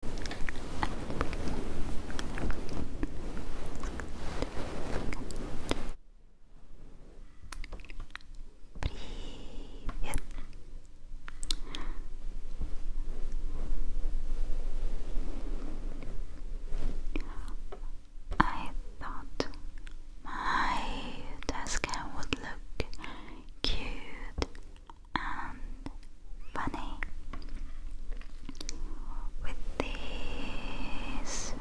Привет. I thought my desk would look cute and funny. With these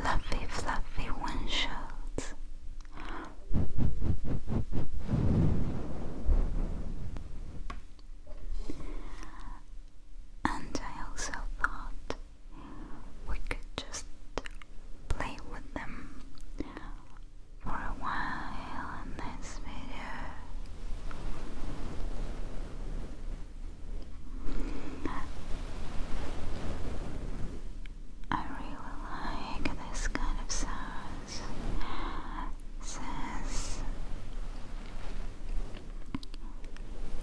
fluffy, fluffy windshields. And I also thought we could just play with them for a while in this video. I really like this kind of sounds since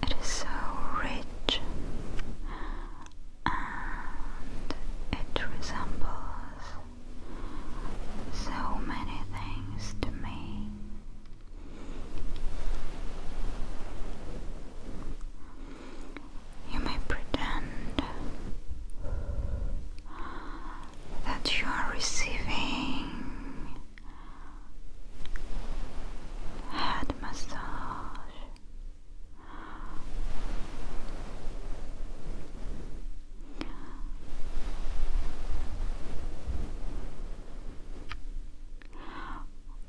it is so rich and it resembles so many things to me. You may pretend that you are receiving head massage.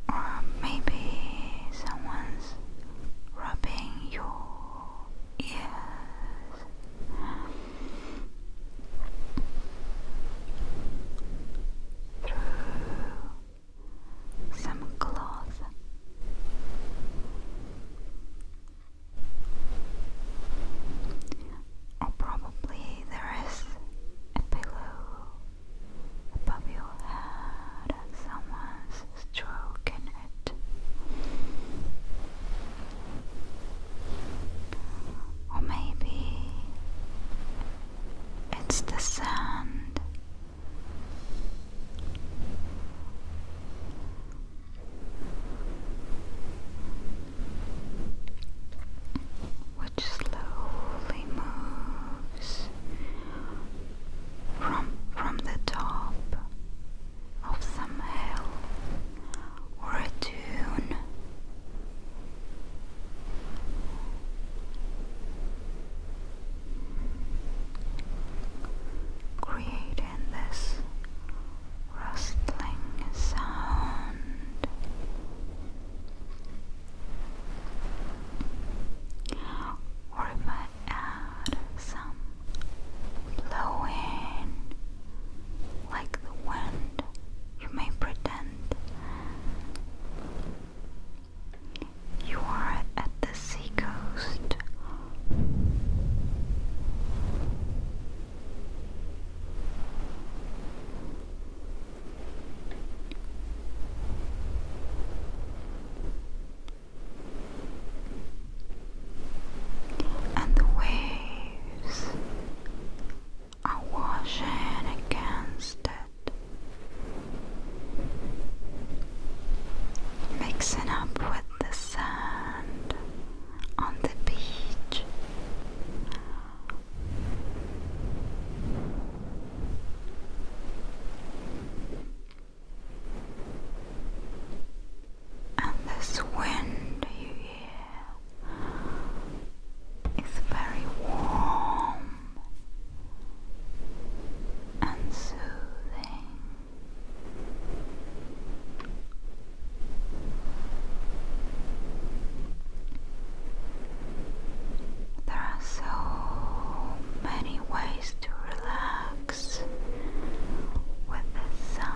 Or maybe someone's rubbing your ears. Through some cloth or probably there is a pillow above your head and someone's stroking it. Or maybe it's the sand which slowly moves from from the top of some hill or a dune creating this rustling sound. Or if I add some blowing like the wind, you may pretend you are at the seacoast and the waves are washing against it, mixing up with the sand on the beach. And this wind you hear is very warm and soothing. There are so many ways to relax with this sound.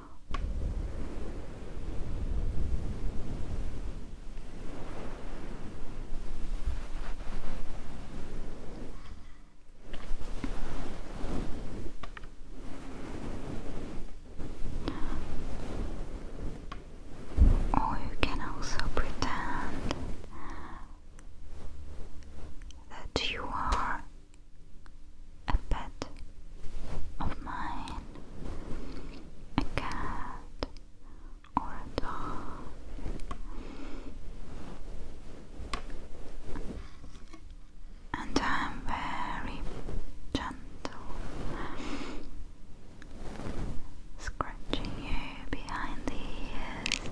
Or you can also pretend that you are a pet of mine, a cat or a dog, and I'm very gentle. Scratching you behind the ears.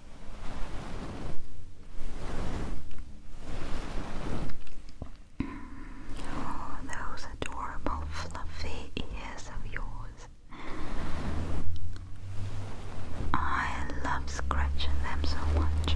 Oh, those adorable fluffy ears of yours. I love scratching them so much.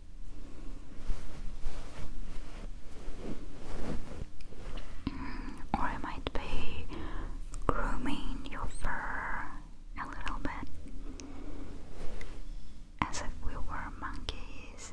Or I might be grooming your fur a little bit as if we were monkeys.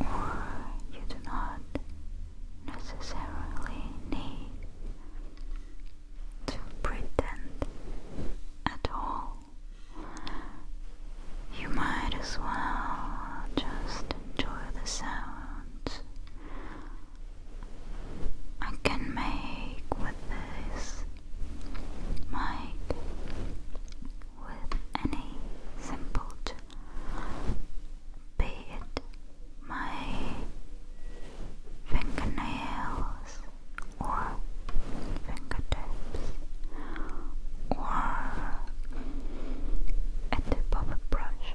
Or you do not necessarily need to pretend at all. You might as well just enjoy the sounds I can make with this mic with any simple, be my fingernails or fingertips or a tip brush.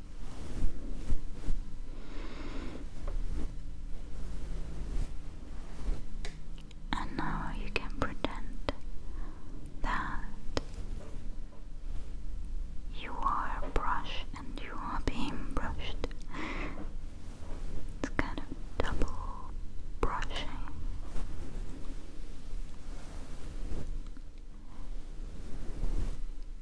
And now you can pretend that you are a and you are being brushed. It's kind of double brushing.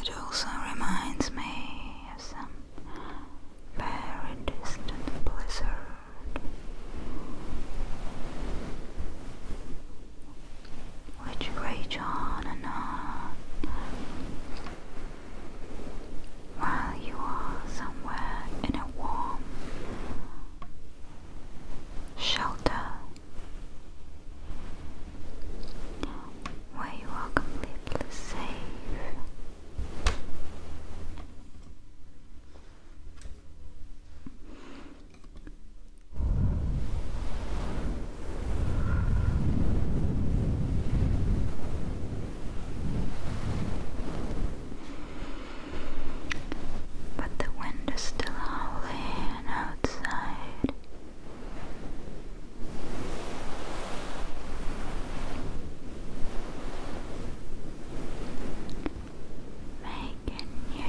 it also reminds me of some very distant blizzard, which rage on and on while you are somewhere in a warm shelter where you are completely safe. But the wind is still howling outside. Make you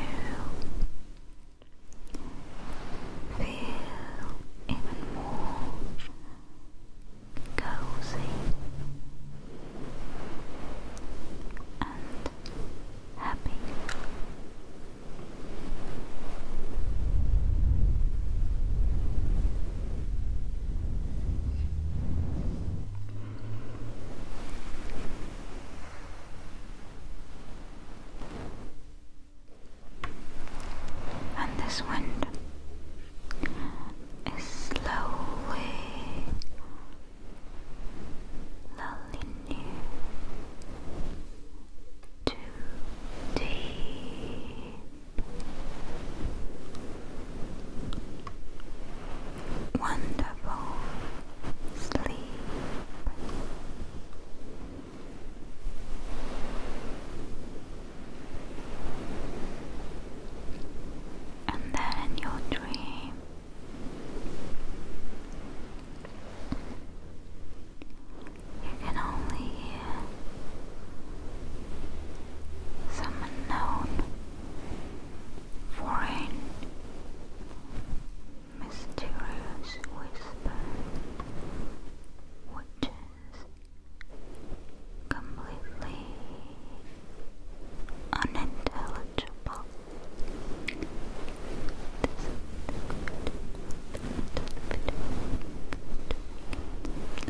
feel even more cozy and happy. And this wind is slowly lulling you to deep wonderful sleep. And then your dream, you can only hear some unknown foreign, mysterious whispers which is completely unintelligible.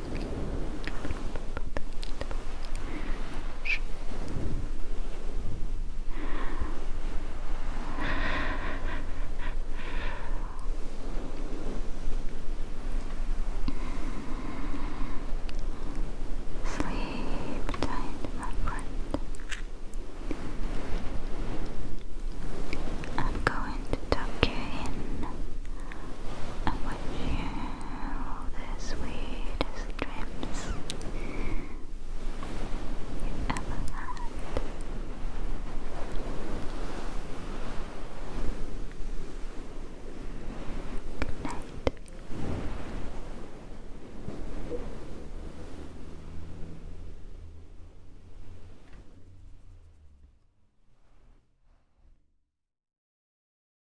Sleep tight, my friend. I'm going to tuck you in and put you all the sweetest dreams you ever had. Good night.